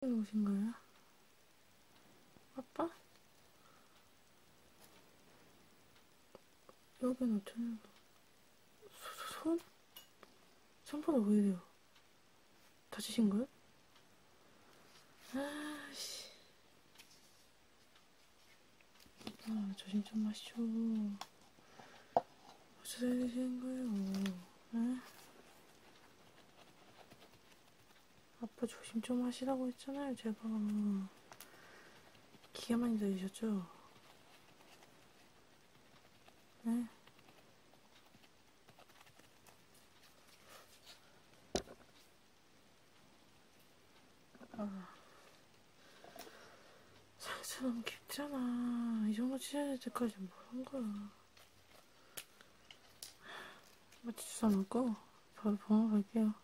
오신 거예요? 아빠? 여긴 어쩌냐고. 손? 손바닥 왜 이래요? 다치신 거예요? 아씨. 아, 조심 좀 하시오. 어쩌다 이러시는 거예요? 에? 네? 아빠 조심 좀 하시라고 했잖아요, 제가. 기가 많이 들리셨죠? 네? 아. 상처 너무 깊잖아. 이 정도 치아질 때까지 뭘 한 거야. 모찌 뭐 주워 먹고 바로 병원 갈게요.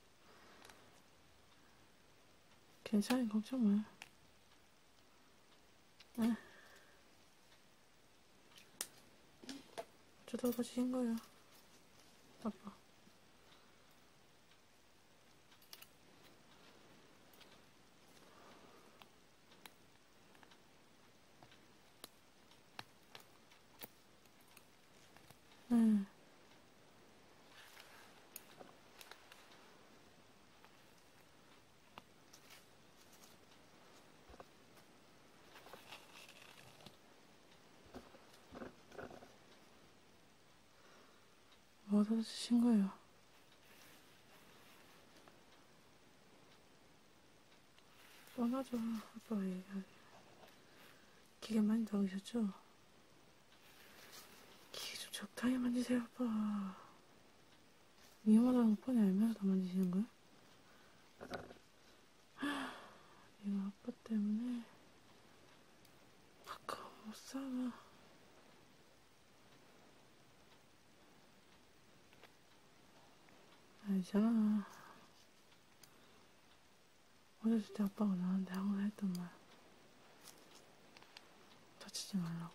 괜찮아요. 걱정 마요. 네. 저도 아버지인 거예요. 아빠. 응. 음. 얻어주신 뭐 거예요. 뻔하죠. 아빠 얘기하기. 기계 많이 다루셨죠? 기계 좀 적당히 만지세요, 아빠. 위험하다는 거 뻔히 알면서 다 만지시는 거야? 이거 아빠 때문에 아까 못 살아. 알잖아. 어렸을 때 아빠가 나한테 항상 했던 말. 다치지 말라고.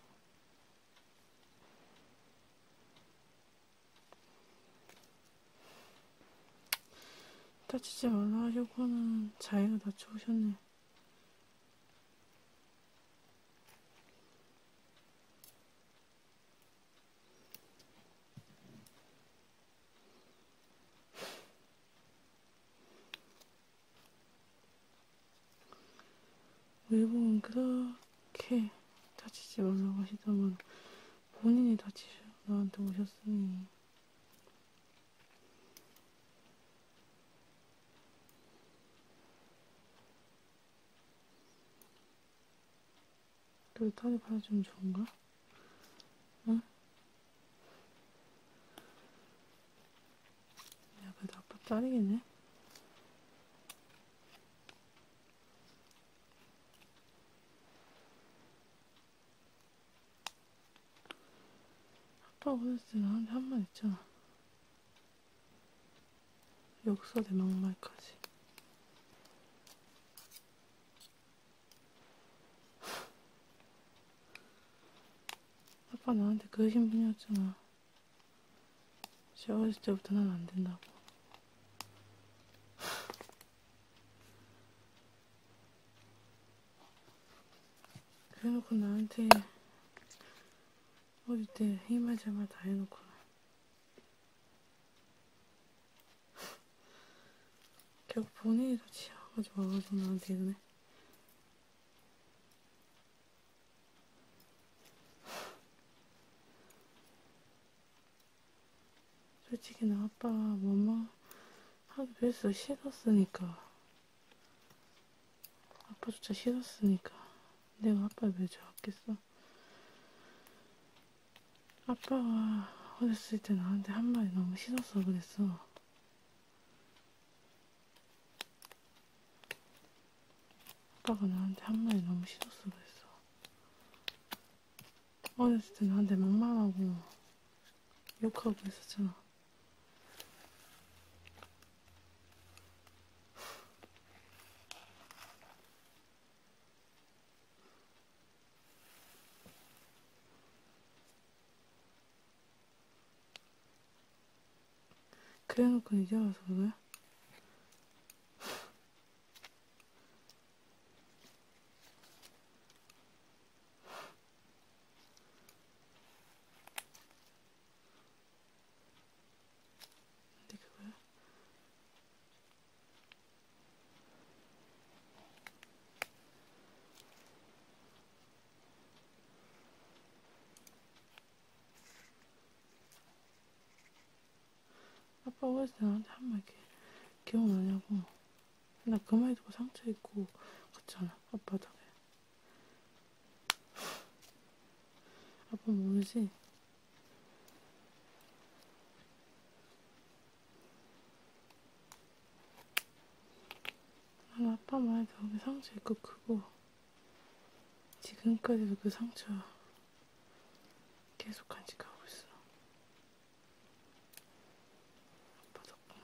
다치지 말라 하시고는 자기가 다쳐오셨네. 일본 그렇게 다치지 말라고 하시더만 본인이 다치셔 나한테 오셨으니 널 딸이 받아주면 좋은가? 응? 어? 야, 그래도 아빠 딸이겠네? 아빠가 어렸을 때 나한테 한말 했잖아. 역사대 막말까지. 아빠 나한테 그 신분이었잖아. 시어렸을 때부터 난안 된다고. 그래놓고 나한테 어릴 때 힘을 제발 다 해놓고 결국 본인이 다 지어가지고 와가지고 나한테 이러네. 솔직히 나 아빠 엄마 하기 그래서 싫었으니까 아빠조차 싫었으니까 내가 아빠 왜 좋았겠어? 아빠가 어렸을 때 나한테 한 말이 너무 싫어서 그랬어. 아빠가 나한테 한 말이 너무 싫어서 그랬어. 어렸을 때 나한테 막말하고 욕하고 있었잖아. 그래놓고 이제 와서 그거야? 근데 그거야? 아빠 어렸을 때 나한테 한말 이렇게 기억나냐고 나 그말 듣고 상처 입고 갔잖아 아빠 덕에 아빠 모르지? 엄마 아, 아빠 말도 그 상처 있고 크고 지금까지도 그 상처 계속 간직하고 있어. 아빠 덕분에.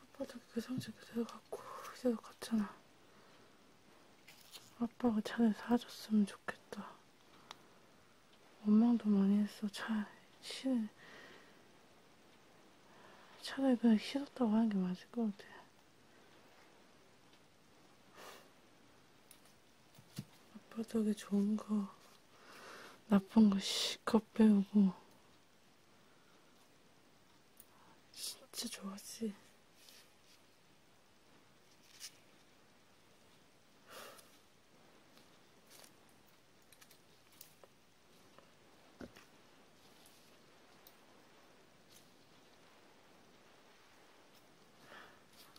아빠도 그 상처 그대로 갖고 그대로 갔잖아. 아빠가 차를 사줬으면 좋겠다. 원망도 많이 했어. 차, 실, 차라리 그냥 싫었다고 하는 게 맞을 것 같아. 아빠 덕에 좋은 거, 나쁜 거 실컷 배우고, 진짜 좋았지.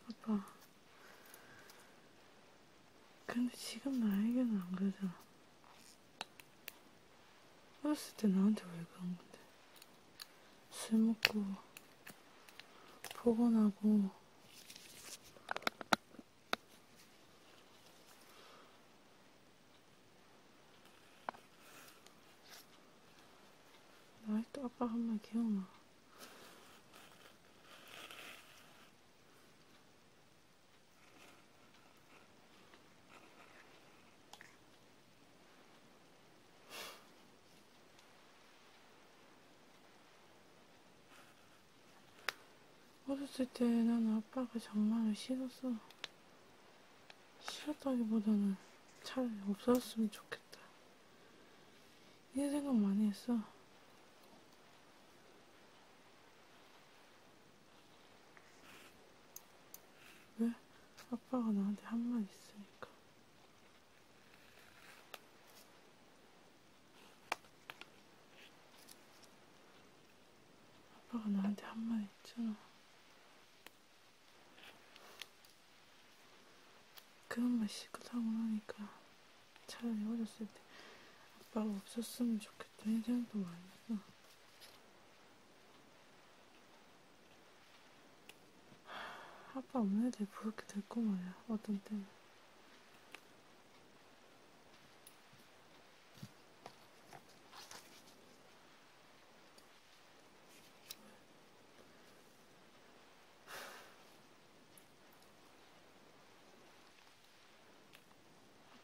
아빠. 근데 지금 나에게는 안 그러잖아. 어렸을 때 나한테 왜 그런 건데? 술 먹고, 포근하고, 나또 아빠가 한말 기억나. 어렸을 때 나는 아빠가 장난을 싫었어. 싫었다기보다는 차라리 없었으면 좋겠어. 좋겠다. 이런 생각 많이 했어. 왜? 아빠가 나한테 한 말 있으니까. 아빠가 나한테 한 말 있잖아. 그런 말 시끄하고 그 나니까 차라리 어렸을 때 아빠가 없었으면 좋겠다는 생각도 많이 했어. 아빠 없는 애들이 그렇게 됐고 말이야. 어떤 때는.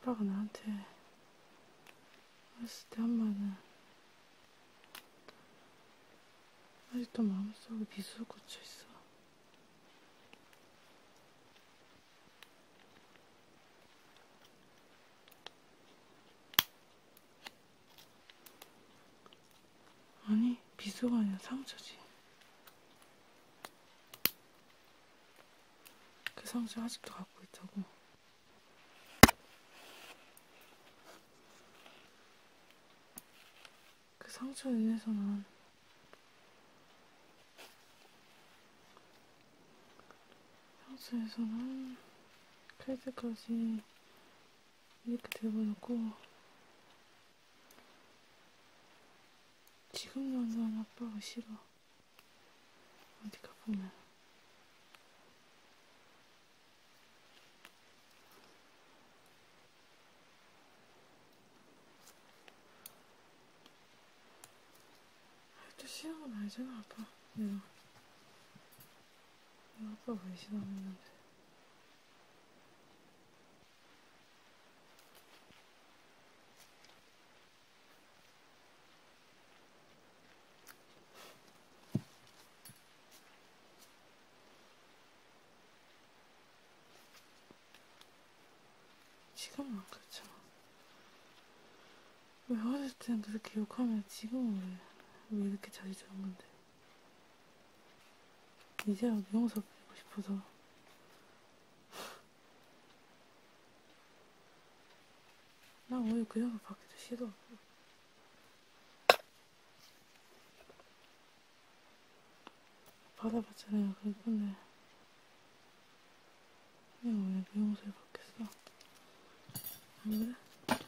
아빠가 나한테 어렸을 때한 말은 아직도 마음속에 비수로 꽂혀 있어. 아니, 비소가 아니라 상처지. 그 상처 아직도 갖고 있다고. 그 상처로 인해서 난 상처에서는 그래드까지 이렇게 돼버렸고 지금 연사는 아빠가 싫어 어디 가보면 또 시험은 알잖아 아빠 내가 내가 아빠 왜 싫어했는데 지금은 안 그렇잖아. 왜 어렸을 때는 그렇게 욕하면 지금은 왜, 왜 이렇게 자주 저런 건데. 이제야 미용사 배우고 싶어서 나 오늘 그 영상 받기도 싫어 받아봤잖아요 그럴 건데 그냥 왜 미용사에 그 받겠어 안 그래?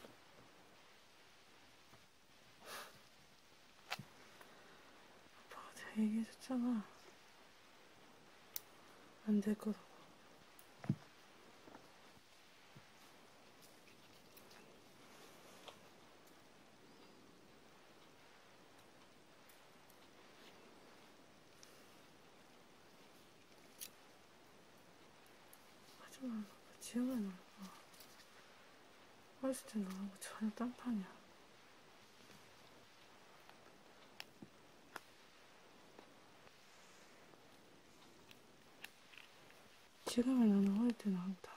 아빠가 다 얘기해줬잖아. 안 될 거라고. 하지 말라고 어, 지금은 나고 어렸을 때 나하고 전혀 딴판이야 지금의 나는 어릴 때 나하고 다르다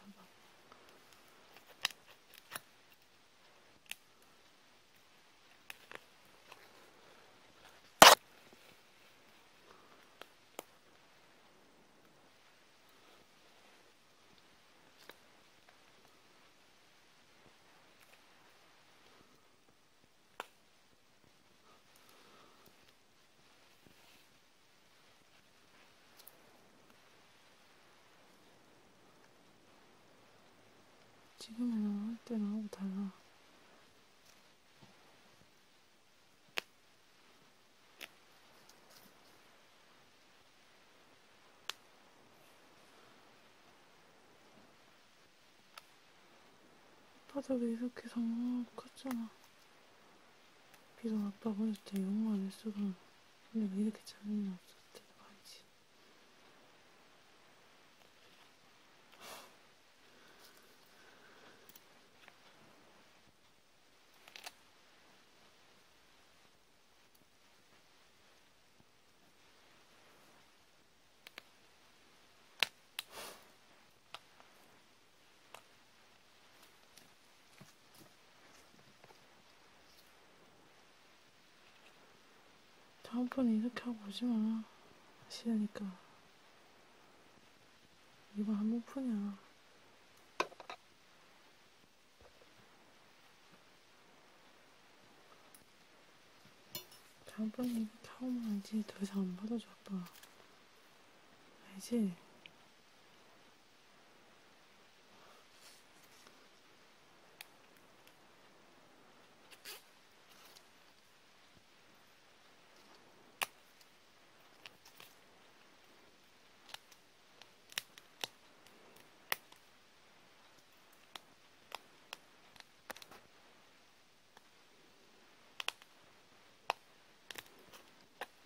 지금이랑 할 때랑 하고 달라. 바닥에 이렇게 장난하고 컸잖아. 비록 아빠 보낼 때 영어 안 했어도 근데 왜 이렇게 장난이 없었대 말이지. 다음번에 이렇게 하고 오지 마. 싫으니까. 이번 한 번뿐이야. 다음번에 타오면 알지. 더 이상 안 받아줘, 아빠. 알지?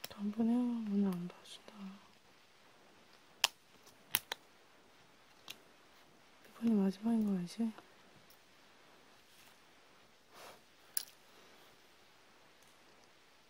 단번에 문을 안 닫으신다. 이번이 마지막인 거 알지?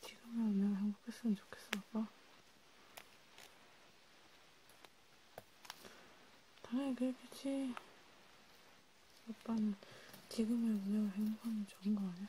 지금이 얼마나 행복했으면 좋겠어, 아빠. 당연히 그랬겠지. 아빠는 지금의 우리가 행복하면 좋은 거 아니야?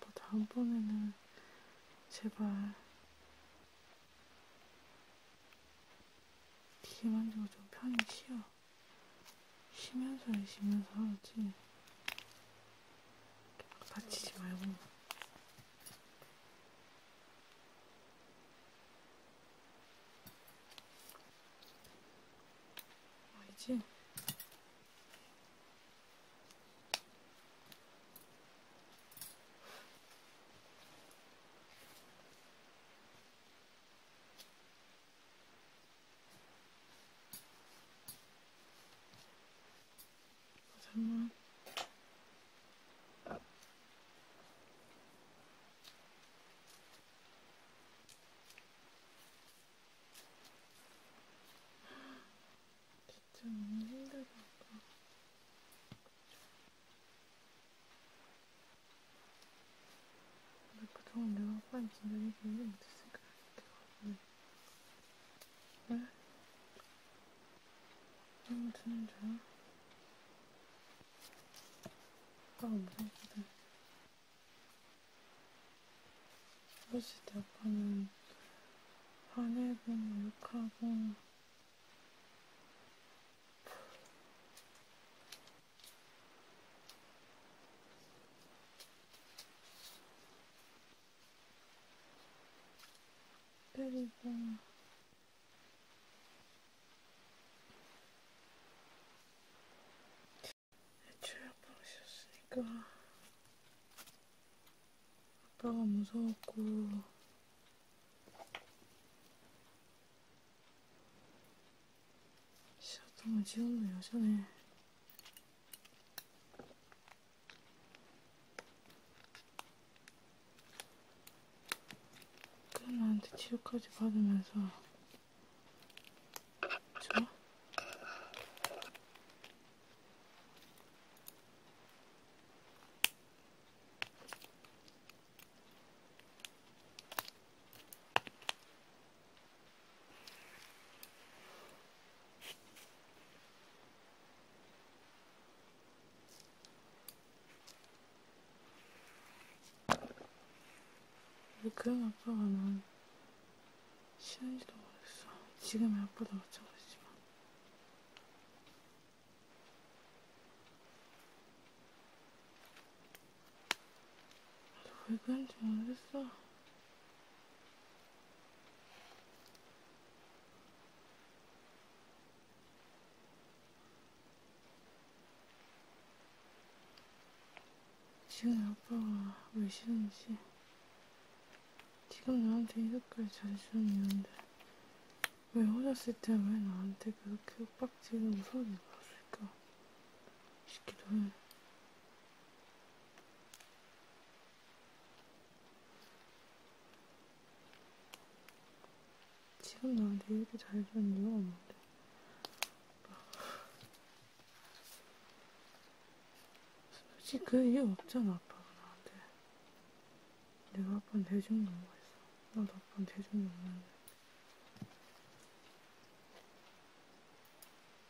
뭐 다음번에는 제발 기계 만지고 좀 편히 쉬어. 쉬면서 쉬면서 하지. 다치지 말고. 알지? 잠깐만. 아, 진짜 너무 힘들다. 근데 그동안 내가 아빠인 진짜 얘기 못했으니까 내가 응? 너무 드는 줄 아빠가 무섭거든. 어렸을 때 아빠는 화내고, 욕하고, 그리고 애초에 아빠가 싫었으니까 아빠가 무서웠고 싫었던 건 지금도 여전해 그나한테 치료까지 받으면서 좋아? 그런 아빠가 난 싫은지도 모르겠어. 지금의 아빠도 마찬가지지만. 나도 왜 그런지 모르겠어. 지금 아빠가 왜 싫은지 지금 나한테 이렇게 잘주는 이유인데 왜 어렸을 때 왜 나한테 그렇게 윽박지는 무서운 일을 했을까 싶기도 해 지금 나한테 이렇게 잘 주는 이유가 없는데. 솔직히 그 이유 없잖아, 아빠가 나한테. 내가 아빠는 대준 게 뭐가 있어. 나도 아빠는 대준 게 없는데.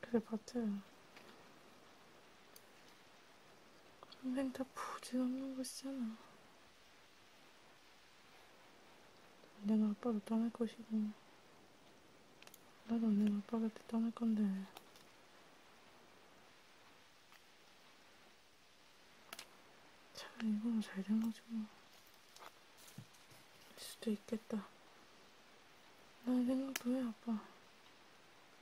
그래 봤어요. 선생 다 부질없는 것이잖아. 내가 아빠를 떠날 것이고 나도 내가 아빠를 떠날 건데 차라리 이거는 잘된 거지 뭐. 수도 있겠다. 난 생각도 해 아빠.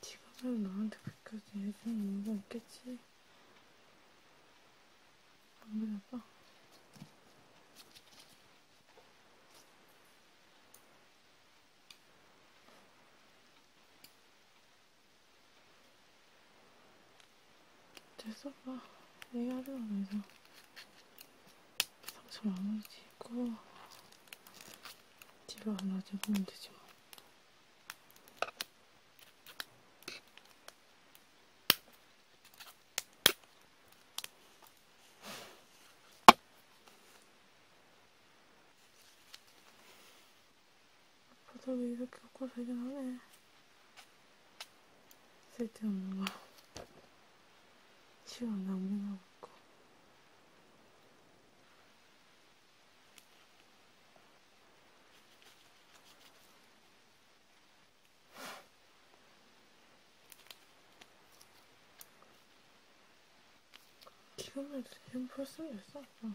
지금은 나한테 그까지 해주는 이유가 있겠지? 안 그래, 아빠? 됐어, 봐. 얘기하자, 그래서. 상처 마무리 짓고, 뒤로 안 맞아보면 되지 뭐. 바닥이 이렇게 없고 되긴 하네. 쓸데없는 거. 시간 낭비하고 있고. 지금은 지금 벌써 됐어. 어.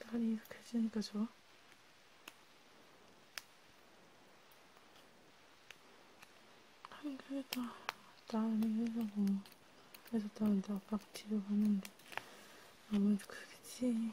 딸이 이렇게 해지니까 좋아. 힘들다. 딸이 회사고 회사 따는데 아빠가 집에 갔는데 아무래도 그겠지.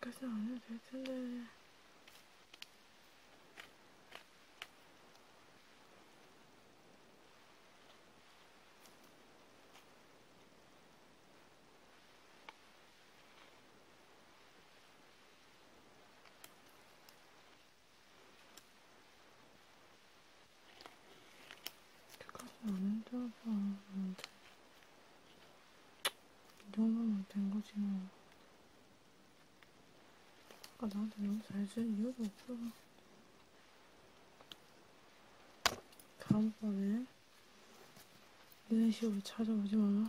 그까지는 안 해도 될 텐데. 그까지는 안 해도 될 텐데. 이 정도면 된 거지 뭐. 아까 나한테 너무 잘준 이유가 없어. 다음번에 이런 식으로 찾아오지 마.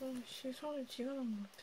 아, 씨, 손을 지가 난것 같아.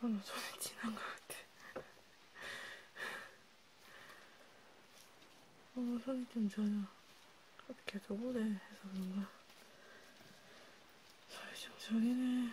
너무 저는 지난 것 같아. 어, 손이 좀 저려. 계속 오래 해서 그런가. 손이 좀 저리네.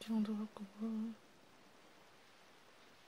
정도 갖고 뭐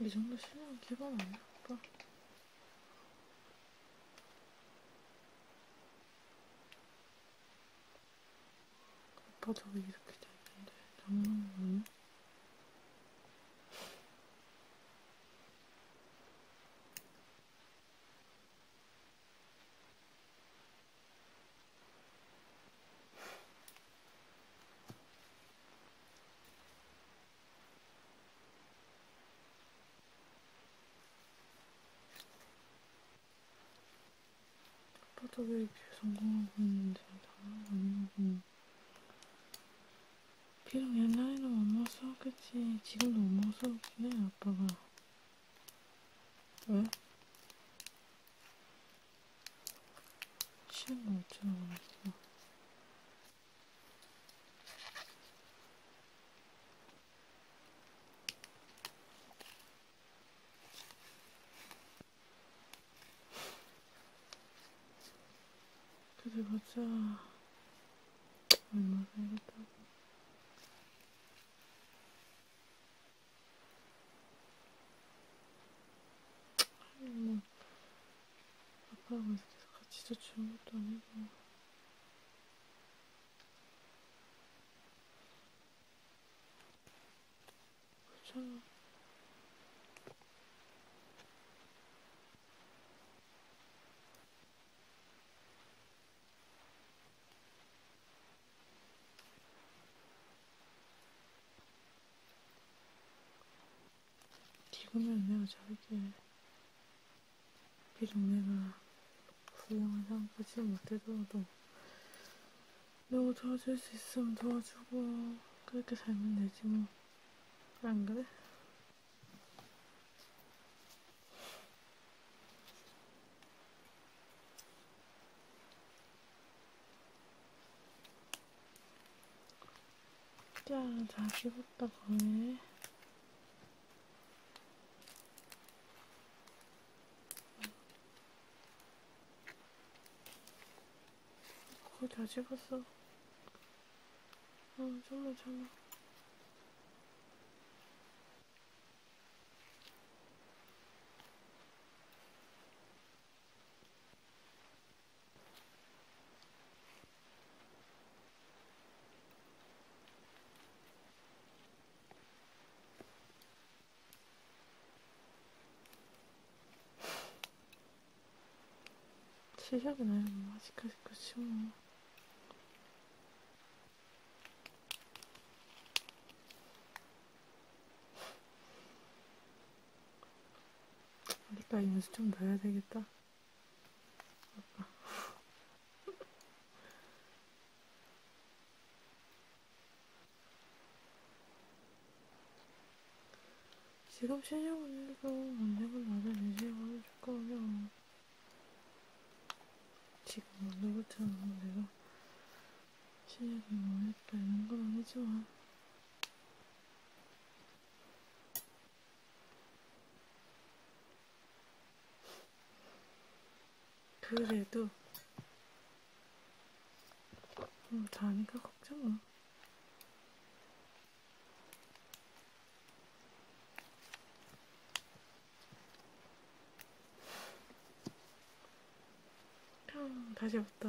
이 정도 실력은 기본 아니야, 오빠? 오빠 저기 이렇게 돼 있는데 장난은 아빠도 왜 이렇게 성공하고 있는지 다안나고 비록 옛날에는 못 먹었어 그치 지금도 못 먹었어 그치 아빠가 왜? 쉬운 거 어쩌라고 그랬어. 그래 보자. 얼마 살겠다고. 뭐 아빠하고 있을 때 같이 자취한 것도 아니고 그렇잖아 지금은 내가 저렇게 비동네가 훌륭한 상황까지 못되더라도 너무 도와줄 수 있으면 도와주고 그렇게 살면 되지 뭐안 그래? 자, 다 씹었다 거네. 거의 다 씹었어. 어, 정말 참아. 실력이네 아직까지 끝이 뭐 여기까지 연습 좀더 해야 되겠다. 지금 시청분들도 언제가 나를 의지하고 해줄 거면 지금 오늘부터는 내가 실력이 뭐였다 이런 거랑 해줘. 그래도 뭐 음, 자니까 걱정 마. 음, 다시 왔다.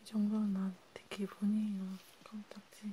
이 정도는 나한테 기본이에요. 깜짝지.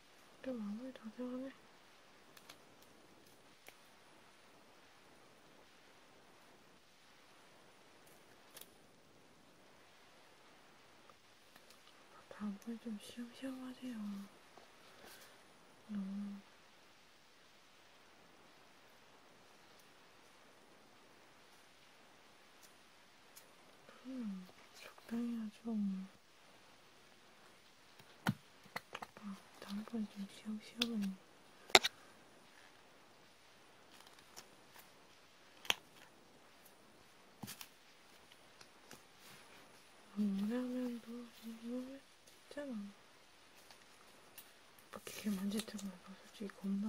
그래 마무리 다 들어가네. 다음번에 좀 시험시험 하세요. 너무 음, 적당히 하죠. 뭐. 아, 다음번에 좀 쉬어, 쉬어버리네. 라면도 너무 진짜 많아. 막 이렇게 만질 때마다 솔직히 겁나.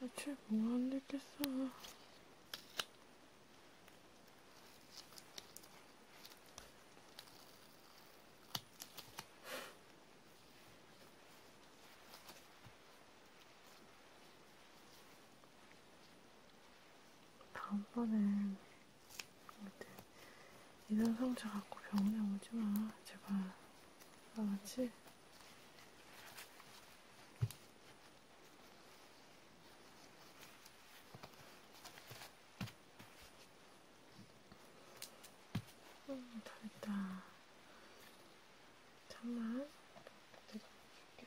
며칠 뭐안 됐겠어. 다음번엔 이런 상처 갖고 병원에 오지 마. 제발. 알았지? 음, 다르다. 잠만. 줄게.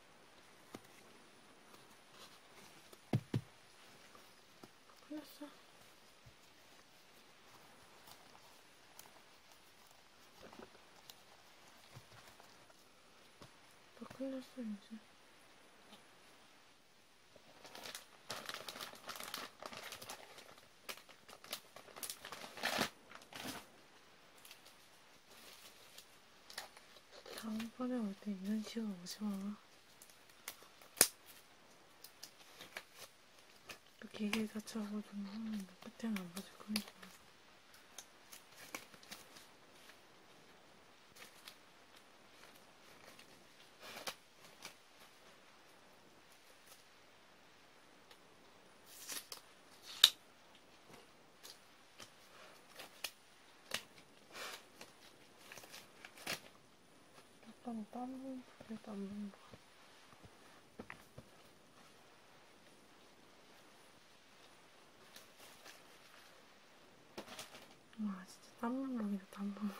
끝났어. 다 끝났어 이제. 다음번에 올때 이런 식으로 오지마. 그 기계 자체하고 좀 하면 끝에는 안 맞을 거니까. 그러니까. 약간 땀은 그래도 안난 거. 와 진짜 땀만 나네 땀만.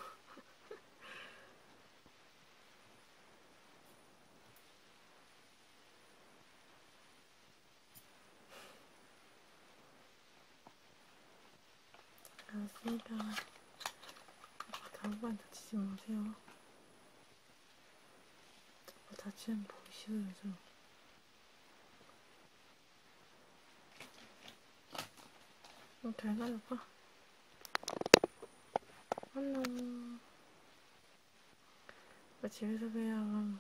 알았습니다. 다음번 다치지 마세요. 뭐 다치면 보기 싫어요, 저. 어, 음, 잘 가져가. 안녕. 뭐 집에서 봬요.